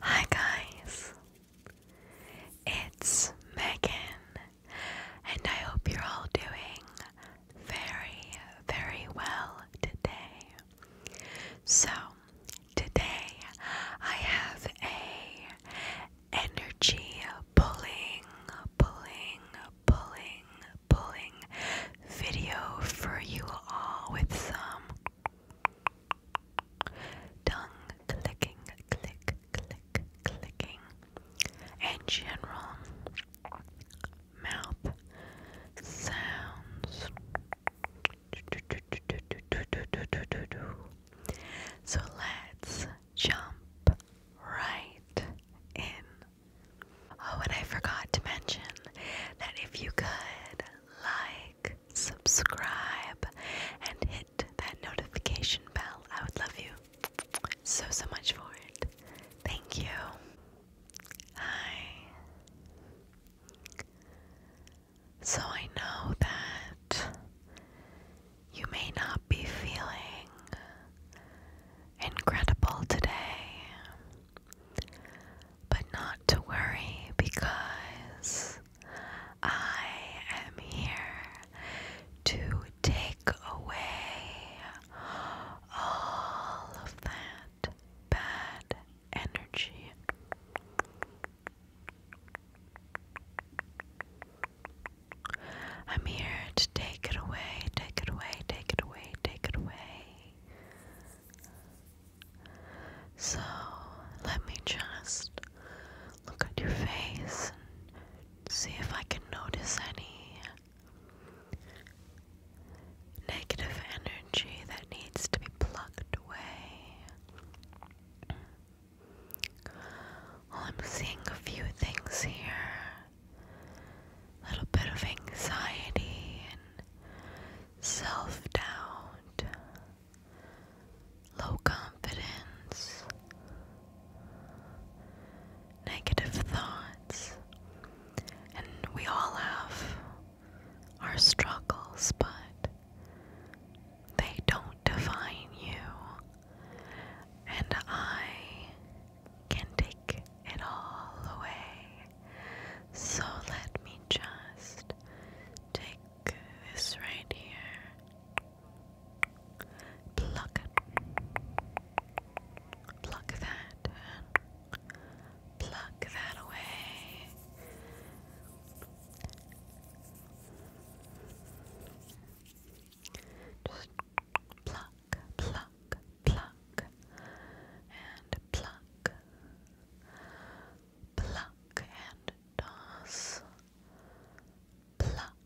Hi guys, it's Megan, and I hope you're all doing very, very well today. So, today I have a energy pulling, pulling, pulling, pulling video for you all with some tongue clicking, click, click, clicking, and general mouth sounds. So let's jump right in. Oh, and I forgot to mention that if you could like, subscribe, and hit that notification bell, I would love you so, so much for it. Thank you. Hi. So I know that you may not be feeling incredible today. But not to worry because I am here to take away all of that bad energy. I'm here to take it away, take it away, take it away, take it away. So let me just look at your face and see if I can notice any negative energy that needs to be plucked away. I'm seeing a few things here a little bit of anxiety and self doubt, low confidence, negative thoughts, and we all have our struggles, but they don't define you. And I can take it all away. So let me just take this right here. Pluck it. Pluck that. Pluck that away. Just pluck, pluck, pluck, pluck, and pluck, pluck and toss, pluck,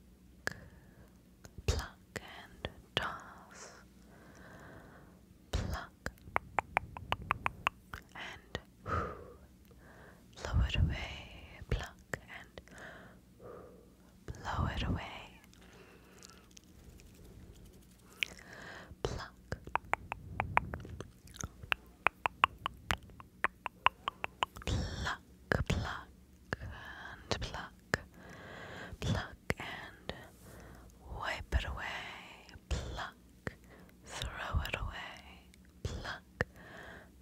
pluck and toss, pluck, and whoo, blow it away, pluck and. Whoo, blow it away. Pluck, pluck, pluck, and pluck, pluck, and wipe it away. Pluck, throw it away. Pluck,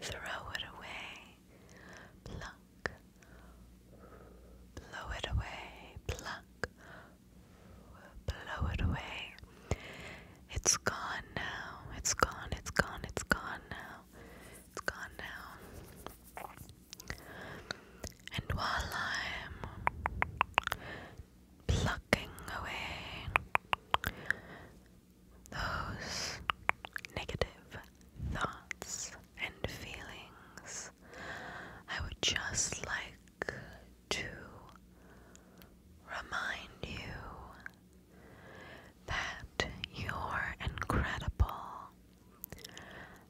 throw it away. Pluck, blow it away, pluck, blow it away. It's gone now, it's gone, it's gone, it's gone now, it's gone now. And while I'm plucking away those negative thoughts and feelings. I would just like to remind you that you're incredible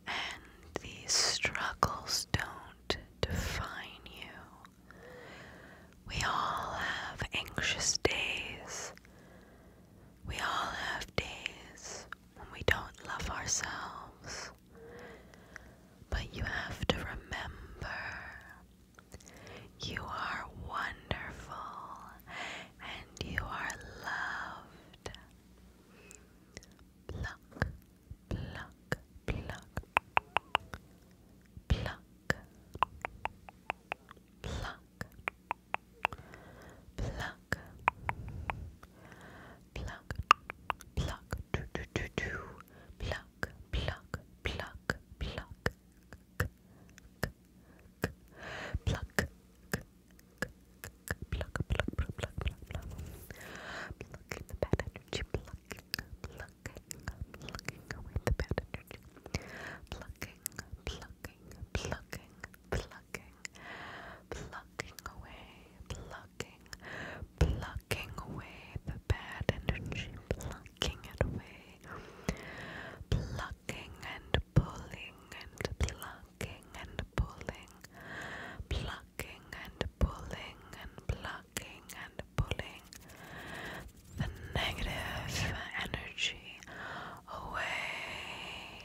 and these struggles don't define you. We all have anxious days. We all have days we don't love ourselves. But you have to remember you are wonderful and you are loved. Pluck, pluck, pluck, pluck. Pluck, pluck, pluck, pluck, do do do do, pluck, pluck, pluck, pluck, k, k, k, pluck, k, k, pluck, pluck, pluck, pluck, pluck, pluck, plucking the bad energy, plucking, plucking, plucking away the bad energy, plucking, plucking, plucking, plucking plucking, plucking away, plucking, plucking away the bad energy, plucking it away, plucking and pulling and plucking and pulling, plucking and pulling and plucking and pulling the negative energy away.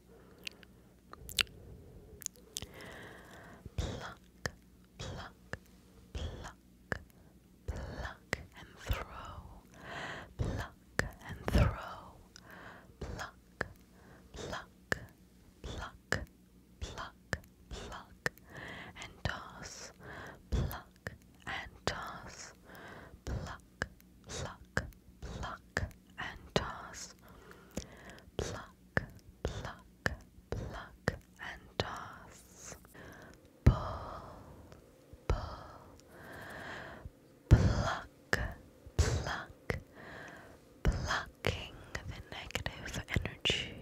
Pluck, pluck, pluck, pluck and throw. Pluck and throw. Pluck, pluck, pluck, pluck, pluck and toss. Pluck and toss. Pluck, pluck, pluck and toss. Pluck, pluck, pluck and toss. Pull, pull. Pluck, pluck. Blocking the negative energy.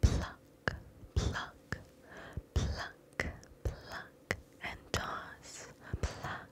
Pluck, pluck, pluck, pluck, and toss. Pluck,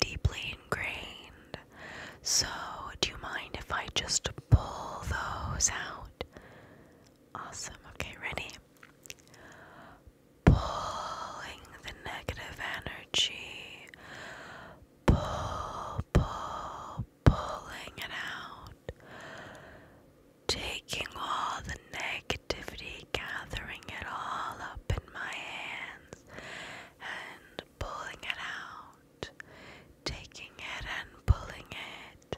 deeply ingrained. So, do you mind if I just pull those out? Awesome. Okay, ready? Pulling the negative energy. Pull, pull, pulling it out. Taking all the negativity, gathering it all up in my hands, and pulling it out, taking it and pulling it,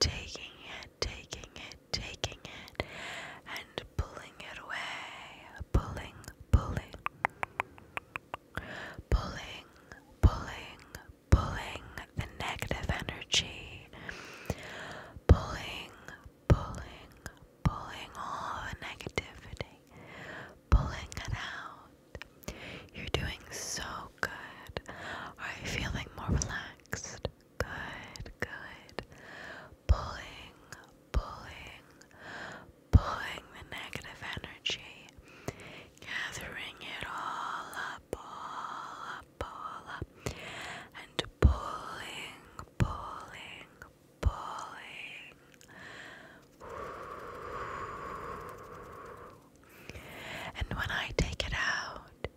taking it, taking it, taking it, and pulling it away, pulling, pulling, pulling, pulling, pulling the negative energy, pulling, pulling, pulling all the negativity, pulling it out. You're doing so good. Are you feeling more relaxed? Good, good. Pulling, pulling, pulling the negative energy, gathering it all up, all up, up, and pulling, pulling, pulling. And when I take it out,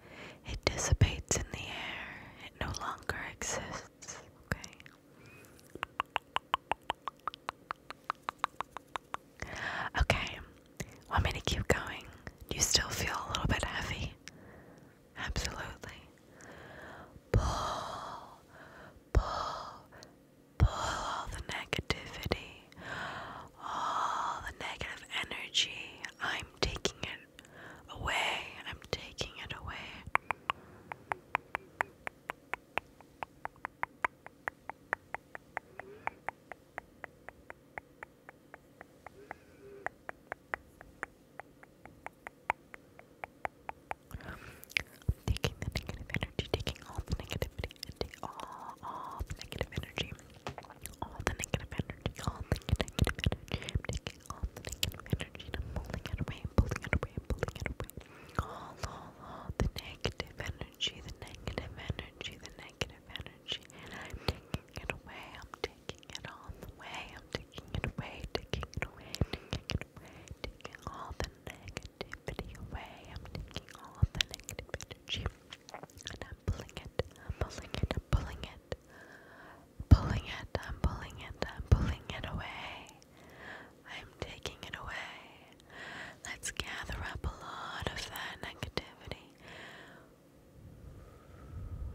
it dissipates in the air. It no longer exists. Okay. Okay. Want me to keep going? Do you still feel a little bit heavy? Absolutely. Pull pull, pull all the negativity, all the negative energy. I'm taking it away. I'm taking it away. Taking the negative energy, taking all the negativity, all, all the negative energy, all the negative energy, all the negative energy, taking all the negative energy I'm pulling it away, pulling it away, pulling it away. All, all, all the negative energy, the negative energy, the negative energy, I'm taking it away, I'm taking it all the way, I'm taking it away, taking it away, taking it taking all the negativity away. I'm taking all the negative and I'm pulling it, pulling it, pulling it, pulling it, I'm pulling it, I'm pulling it away. I'm taking it away. Let's gather up a lot of that negativity.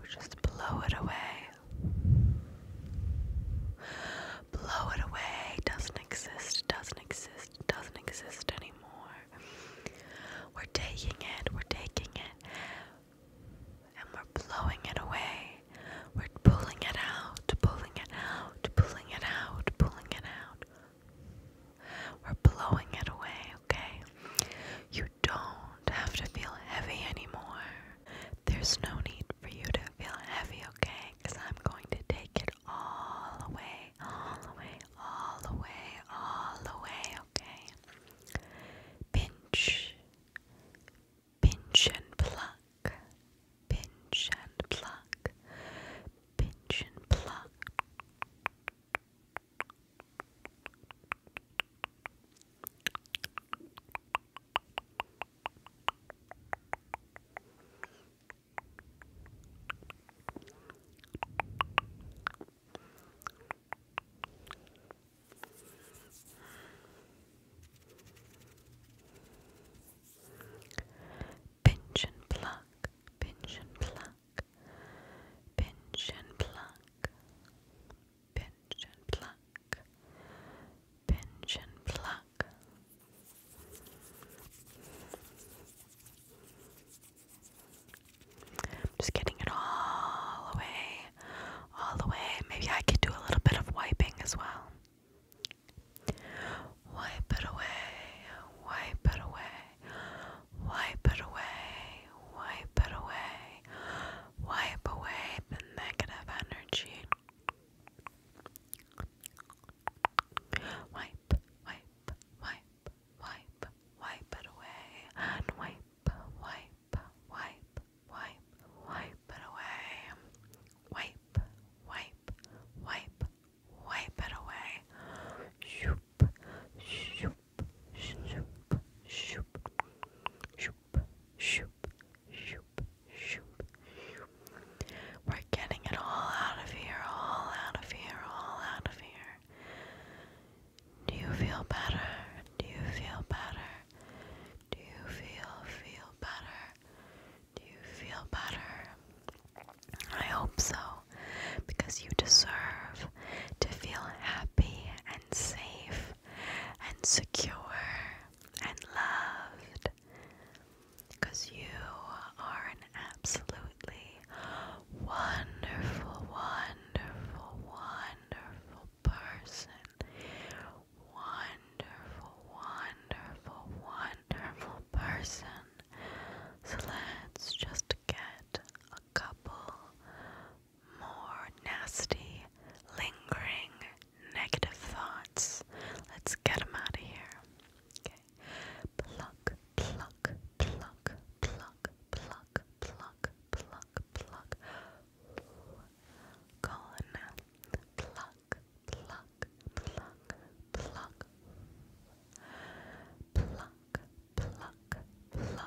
Just blow it away. Blow it away. Doesn't exist. Doesn't exist. Doesn't exist anymore. We're taking it. We're taking it. And we're blowing it away. We're pulling it out, pulling it out, pulling it out, pulling it out. We're blowing it away, okay? You don't have to feel heavy anymore. There's no need for you to feel heavy, okay? Because I'm going to take it all away, all away, all away, all away, okay? Pinch, pinch and pluck, pinch and pluck, pinch and pluck. Pinch and pluck, pinch and pluck, pinch and pluck, pinch and pluck, pinch and pluck. just getting it all away, all the Maybe I could do a little bit of wiping as well. Wipe it away, wipe it away, wipe it away, wipe it away, wipe away the negative energy. Wipe, wipe, wipe, wipe, wipe it away, wipe, wipe, wipe, wipe, wipe it away. Wipe, wipe, wipe, wipe it away. Shoop, shoop, shoop, shoop, shoop, shoop, shoop, shoop, shoop. We're getting it all out of here, all out of here, all out of here. Do you feel better? Do you feel better? Do you feel feel better? Do you feel better? I hope so, because you deserve to feel happy and safe and secure and loved because you are an absolutely wonderful, wonderful, wonderful person. Wonderful, wonderful, wonderful person. So let's just get a couple more nasty, lingering negative thoughts. Let's get them out of here. Okay. Pluck, pluck, pluck, pluck, pluck, pluck, pluck, pluck. Gone. Pluck, pluck, pluck, pluck. Pluck, pluck, pluck, pluck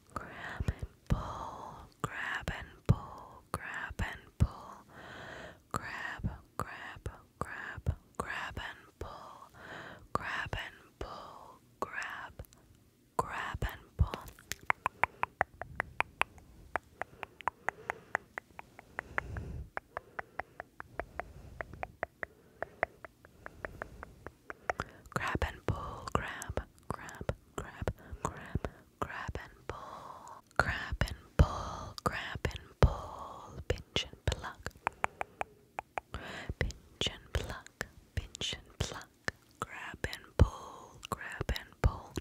grab and pull, grab and pull, grab and pull, grab, grab, grab, grab and pull, grab and pull, grab, grab and pull. Grab and pull, grab, grab, grab, grab, grab and pull, grab and pull, grab and pull, pinch and pluck, pinch and pluck, pinch and pluck, grab and pull, grab and pull.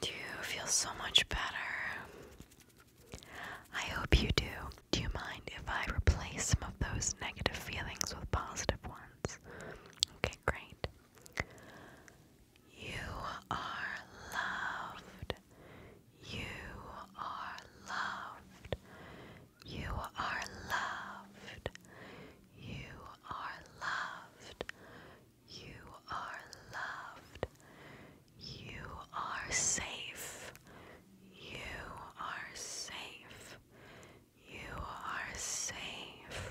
Do you feel so much better? I hope you do. Do you mind if I replace some of those negative feelings with positive ones? Okay, great. You are loved. You are loved. You are loved. You are loved. You are loved. You are safe. You are safe. You are safe.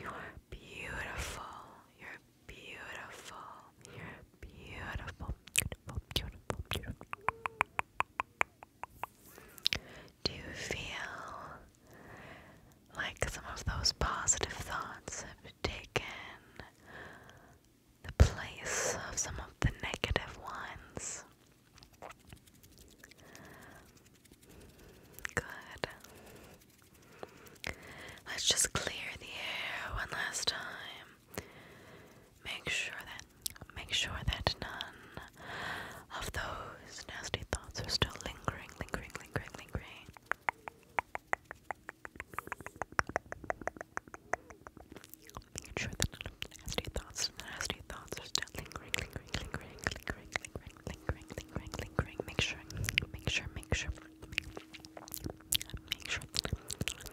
You are beautiful. You're beautiful. You're beautiful. Beautiful, beautiful, beautiful. Do you feel like some of those positive thoughts have taken the place of some of the negative ones? Good. Let's just clear the air one last time. Make sure that make sure that none of those nasty thoughts are still lingering, lingering, lingering, lingering. Make sure that nasty thoughts, nasty thoughts are still lingering, lingering, lingering, lingering, lingering lingering, lingering, lingering. Make sure, make sure, make sure, make sure. Still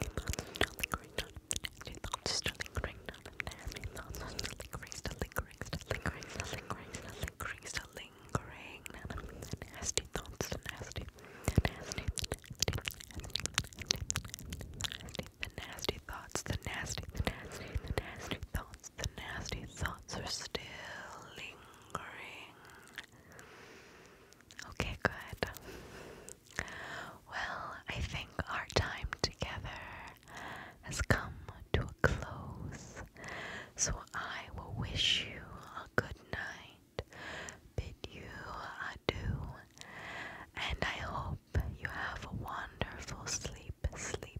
lingering, still lingering, still lingering, still lingering, still lingering, still lingering. Nasty thoughts, nasty, nasty, the nasty thoughts, the nasty, the nasty, the nasty thoughts, the nasty thoughts are still lingering. Okay, good. Well, I think our time together has come to a close, so I will wish you a good night, bid you adieu, and I hope you have a wonderful sleep, sleep